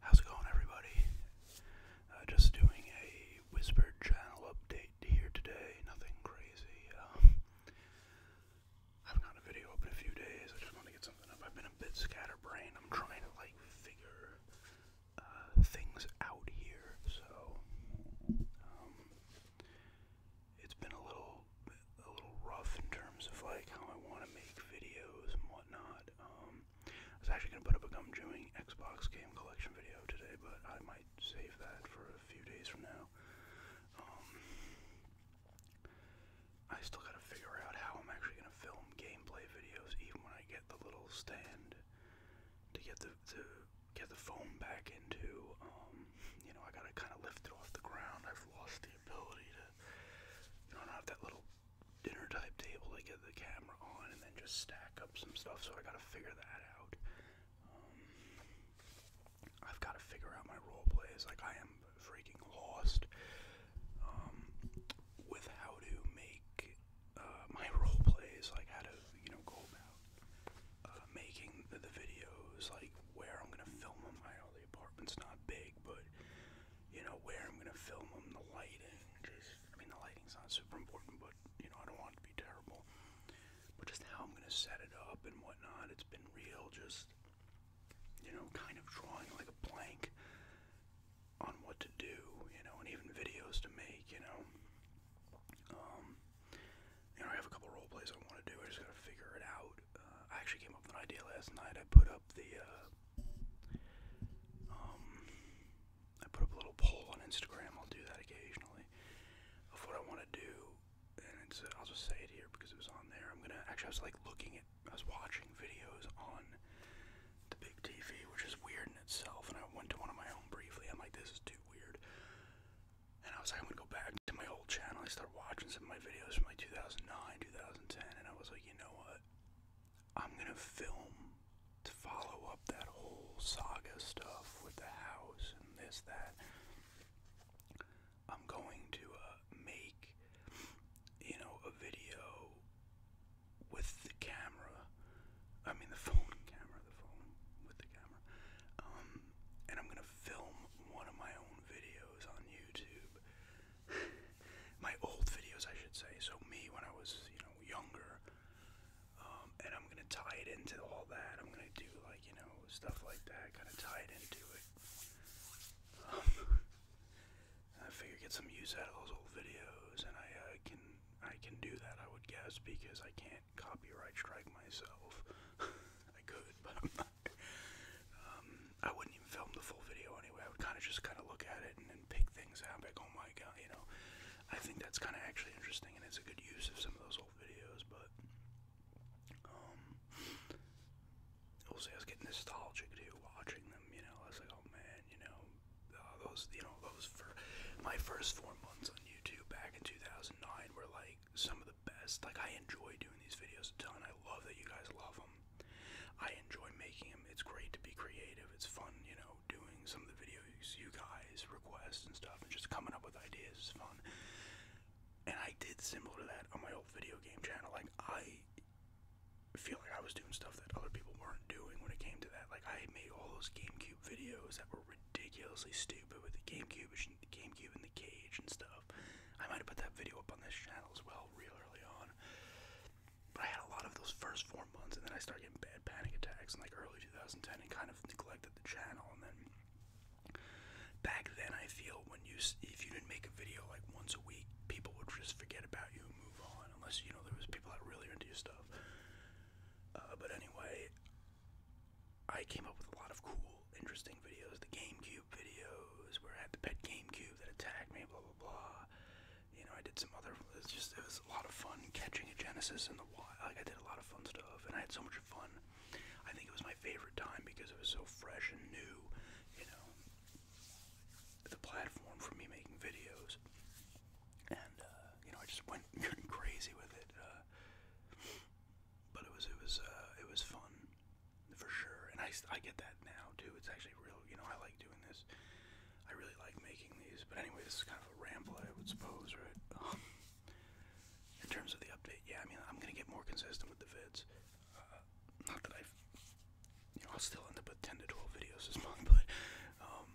How's it going, everybody? Uh, just doing a whispered channel update here today. Nothing crazy. Um, I have got a video up in a few days. I just want to get something up. I've been a bit scatterbrained. I'm trying to like figure uh, things out here. So um, it's been a little a little rough in terms of like how I want to make videos and whatnot. Um, I was actually gonna put up a gum chewing Xbox game collection video today, but I might save that for a few days from now. Um, I still gotta figure out how I'm actually gonna film gameplay videos, even when I get the little stand to get the to get the foam back into. Um, you know, I gotta kind of lift it off the ground. I've lost the the ability to, you know, not have that little dinner type table to get the camera on and then just stack up some stuff. So I got to figure that out. Um, I've got to figure out my role plays. Like I am freaking lost um, with how to make uh, my role plays. Like how to, you know, go about uh, making the, videos. Like where I'm gonna film them. I know apartment's not big, but you know, where I'm gonna film them, the lighting. Just, I mean, the lighting's not super important, but you know, I don't want it to be terrible. But just how I'm gonna set it up and whatnot. It's been real, just you know, kind of drawing like a blank on what to do, you know, and even videos to make, you know. Um, you know, I have a couple role plays I want to do. I just gotta figure it out. Uh, I actually came up with an idea last night. I put up the, uh, um, I put up a little poll on Instagram. I'll do that occasionally of what I want to do, and it's, uh, I'll just say it here because it was on there. I'm gonna actually I was like looking at, I was watching videos on the big TV, which is weird in itself, and I went to one of my own briefly. I'm like, this is too weird, and I was like, I'm gonna go back to my old channel. I started watching some of my videos from like 2009, 2010, and I was like, you know what? I'm gonna film to follow up that whole saga stuff with the house and this, that. I'm going to uh, make, you know, a video with the camera. I mean, the phone camera, the phone with the camera. Um, and I'm gonna film one of my own videos on YouTube my old videos, I should say. So me when I was, you know, younger. Um, and I'm gonna tie it into all that. I'm gonna do like, you know, stuff like that. Kind of tie it into it. Um, I figure get some use out of those old videos, and I uh, can I can do that. I would guess because I can't copyright strike myself. I could, but I'm not. Um, I wouldn't even film the full video anyway. I would kind of just kind of look at it and pick things out. Like, oh my god, you know. I think that's kind of actually interesting, and it's a good use of some of those old videos. But um, also, I was getting nostalgic here watching them. You know, I was like, oh man, you know, uh, those, you know, those for my first four months on YouTube back in 2009 were like some of the best. Like, I enjoy doing these videos a ton. I love that you guys love them. I enjoy making them. It's great to be creative. It's fun, you know, doing some of the videos you guys request and stuff, and just coming up with ideas is fun. And I did similar to that on my old video game channel. Like I feel like I was doing stuff that other people weren't doing when it came to that. Like I made all those GameCube videos that were ridiculously stupid with the GameCube and the GameCube in the cage and stuff. I might have put that video up on this channel as well, real early on. But I had a lot of those first four months, and then I started getting bad panic attacks in like early 2010, and kind of neglected the channel. And then back then, I feel when you if you didn't make a video like once a week, people would just forget about you and move on, unless you know there was people that really into your stuff. Uh, but anyway, I came up with a lot of cool, interesting videos. The GameCube videos, where I had the pet GameCube that attacked me, blah blah blah you know, I did some other. It was just it was a lot of fun catching a Genesis in the wild. I did a lot of fun stuff, and I had so much fun. I think it was my favorite time because it was so fresh and new. You know, the platform for me making videos, and uh, you know, I just went crazy with it. Uh, but it was it was uh, it was fun for sure. And I, I get that now too. It's actually real. You know, I like doing this. I really like making these. But anyway, this is kind of a ramble, I would suppose, right? in terms of the update, yeah. I mean, I'm gonna get more consistent with the vids. Uh, not that i you know, I'll still end up with 10 to 12 videos this month, but um,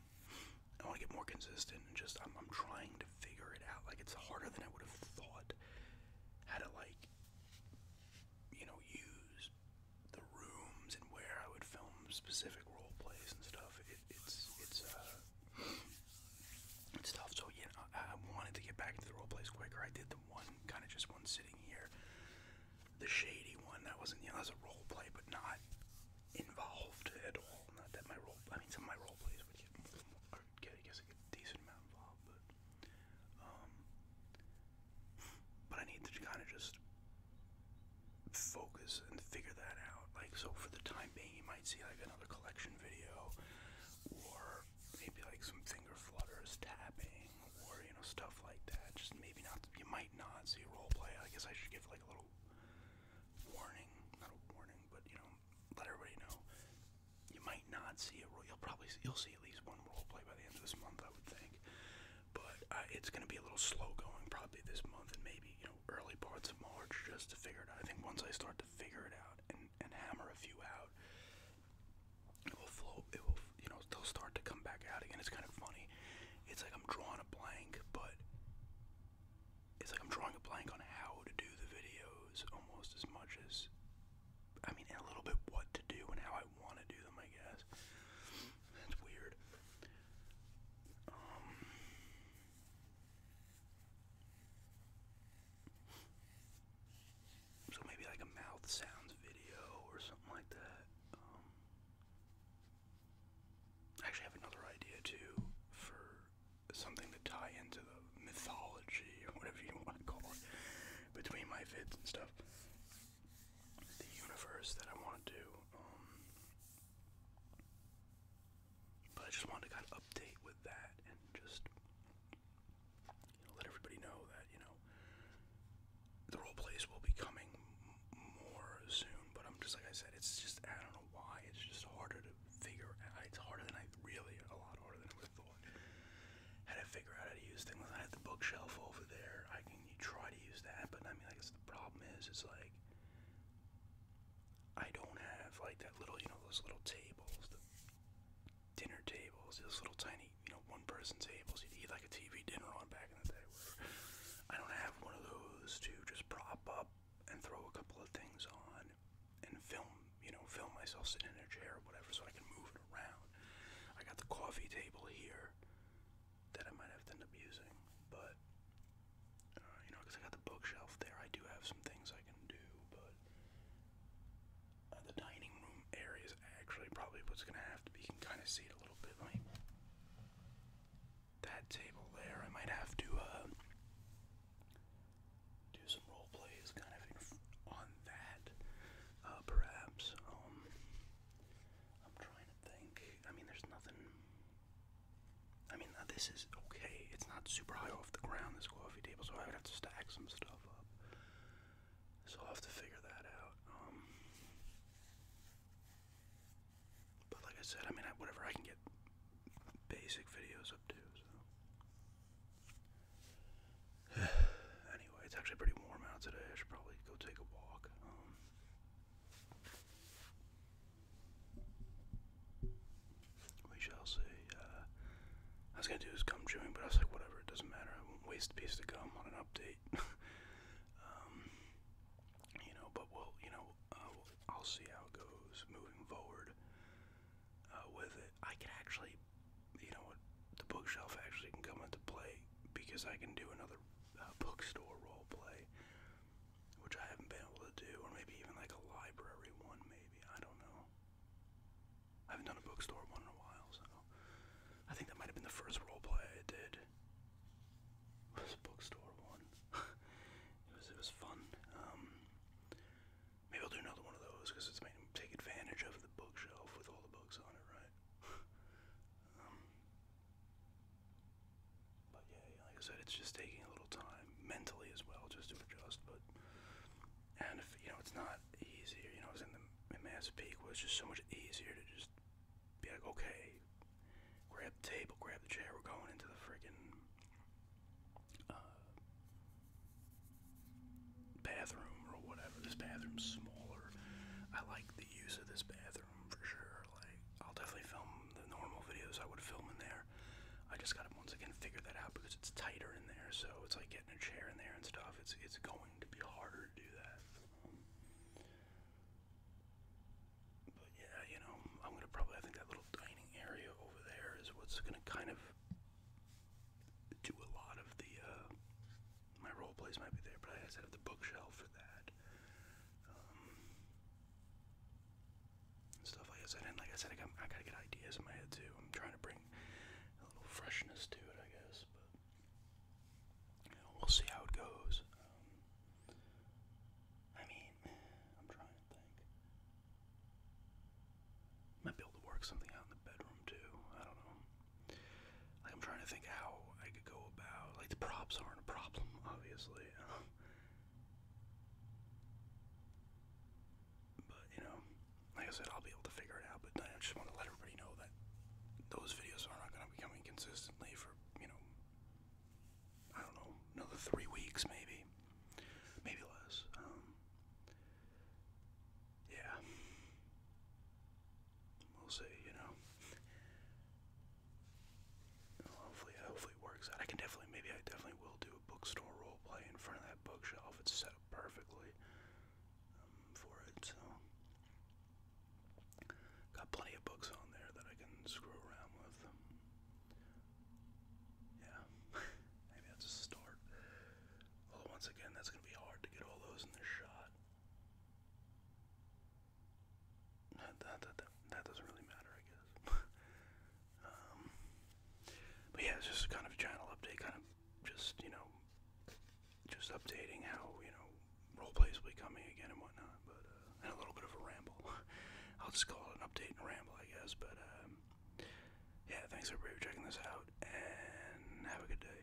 I want to get more consistent and just I'm, I'm trying to figure it out. Like it's harder than I would have thought. How to like, you know, use the rooms and where I would film specific role plays and stuff. It, it's it's uh, it's tough. So yeah, I, I wanted to get back into the role plays quicker. I did the one kind of just one sitting here, the shady one. That wasn't you know as was a role play, but not involved at all. Not that my role. I mean, some of my role plays would get, I guess, a decent amount involved, but. Um, but I need to kind of just focus and figure that out. Like, so for the time being, you might see like another collection video, or maybe like some finger flutters, tapping, or you know stuff like that. Just maybe not. You might not see roleplay. I guess I should give like a little warning, not a warning, but you know, let everybody know. You might not see a role. You'll probably see, you'll see at least one roleplay by the end of this month, I would think. But uh, it's going to be a little slow going probably this month and maybe you know early parts of March just to figure it out. I think once I start to figure it out and, and hammer a few out, it will flow. It will you know they'll start to come back out again. It's kind of funny. It's like I'm drawing a blank, but it's like I'm drawing a blank on how to do the videos almost as much as I mean, and a little bit what to do and how I I want to do them, I guess. That's weird. Um, so maybe like a mouth sounds video or something like that. Um, I actually have another idea too for something to tie into the mythology or whatever you want to call it between my vids and stuff the universe that I want to do. Um, but I just wanted to kind of update with that and just let everybody know that you know the role plays will be coming more soon. But I'm just like I said, it's just I don't know why it's just harder to figure. It's harder than I really a lot harder than I thought how to figure out how to use things. I had the bookshelf over there. I can try to use that, but I mean, I guess the problem is, it's like I don't have like that little, you know, those little tables, the dinner tables, those little tiny, you know, one-person tables you'd eat like a TV dinner on back in the day. Where I don't have one of those to just prop up and throw a couple of things on and film, you know, film myself sitting in a chair or whatever so I can move it around. I got the coffee table here that I might have to end up using, but uh, you know, because I got the bookshelf there, I do have some things I can do, but uh, the dining room area is actually probably what's gonna have to You can kind of see it a little bit. that table there, I might have to uh, do some role plays kind of on that, perhaps. Um, I'm trying to think. I mean, there's nothing. I mean, uh, this is okay. It's not super high off the ground, this coffee table, so I have to stack some stuff up. So I'll have to figure that out. Um. but like I said, I mean, whatever I can get basic videos up to, It's actually pretty warm out today. I should probably go take a walk. Um. we shall see. Uh, I was gonna do this gum chewing, but I was like, whatever, it doesn't matter. I won't waste a piece of gum on an update. Um, you know, but we you know, uh, I'll see how it goes moving forward uh, with it. I can actually, you know, the bookshelf actually can come into play because I can do another uh, bookstore role play, which I haven't been able to do, or maybe even like a library one, maybe. I don't know. I haven't done a bookstore one in a while, so I think that might have been the first role play I did. Was a bookstore one. it was fun. Um, maybe I'll do another one of those because it's made advantage of the bookshelf with all the books on it, right? Um, but yeah, yeah, like I said, it's just taking a little time mentally as well, just to adjust. But and if you know, it's not easier. You know, I was in the in Mass Peak was just so much easier to just be like, okay, grab the table, grab the chair, we're going into the freaking uh, bathroom or whatever. This bathroom's smaller. I like the use of this bathroom for sure. Like, I'll definitely film the normal videos I would film in there. I just gotta once again figure that out because it's tighter in there, so it's like getting a chair in there and stuff. It's it's going to be harder to do that. but yeah, you know, I'm gonna probably I think that little dining area over there is what's gonna kind of do a lot of the uh, my role plays might be there, but I had to have the bookshelf for that. Um, stuff like I said, and like I said, I got, to get ideas in my head too. I'm trying to bring a little freshness to it, I guess, but we'll see how it goes. Um, I mean, I'm trying to think. Might be able to work something out in the bedroom too. I don't know. Like I'm trying to think how I could go about. Like the props aren't a problem, obviously. but you know, like I said, I'll be able to figure it out. But I just want to let everybody know that those videos are not going to be coming consistently for you know, I don't know, another three weeks maybe, maybe less. Um, yeah. We'll see, you know. Hopefully, hopefully it works out. I can definitely, maybe I definitely will do a bookstore role play in front of that bookshelf. It's set up perfectly um, for it, so. Got plenty of books on there that I can screw around with. Yeah, maybe that's a start. Although once again, that's gonna be hard to get all those in the shot that, doesn't really matter, I guess. Um, but yeah, it's just kind of a channel update, kind of just, you know, just updating how, you know, roleplays will be coming again and whatnot, but, uh, and a little bit of a ramble. I'll just call it an update and ramble, I guess, but, um, yeah, thanks everybody for checking this out, and have a good day.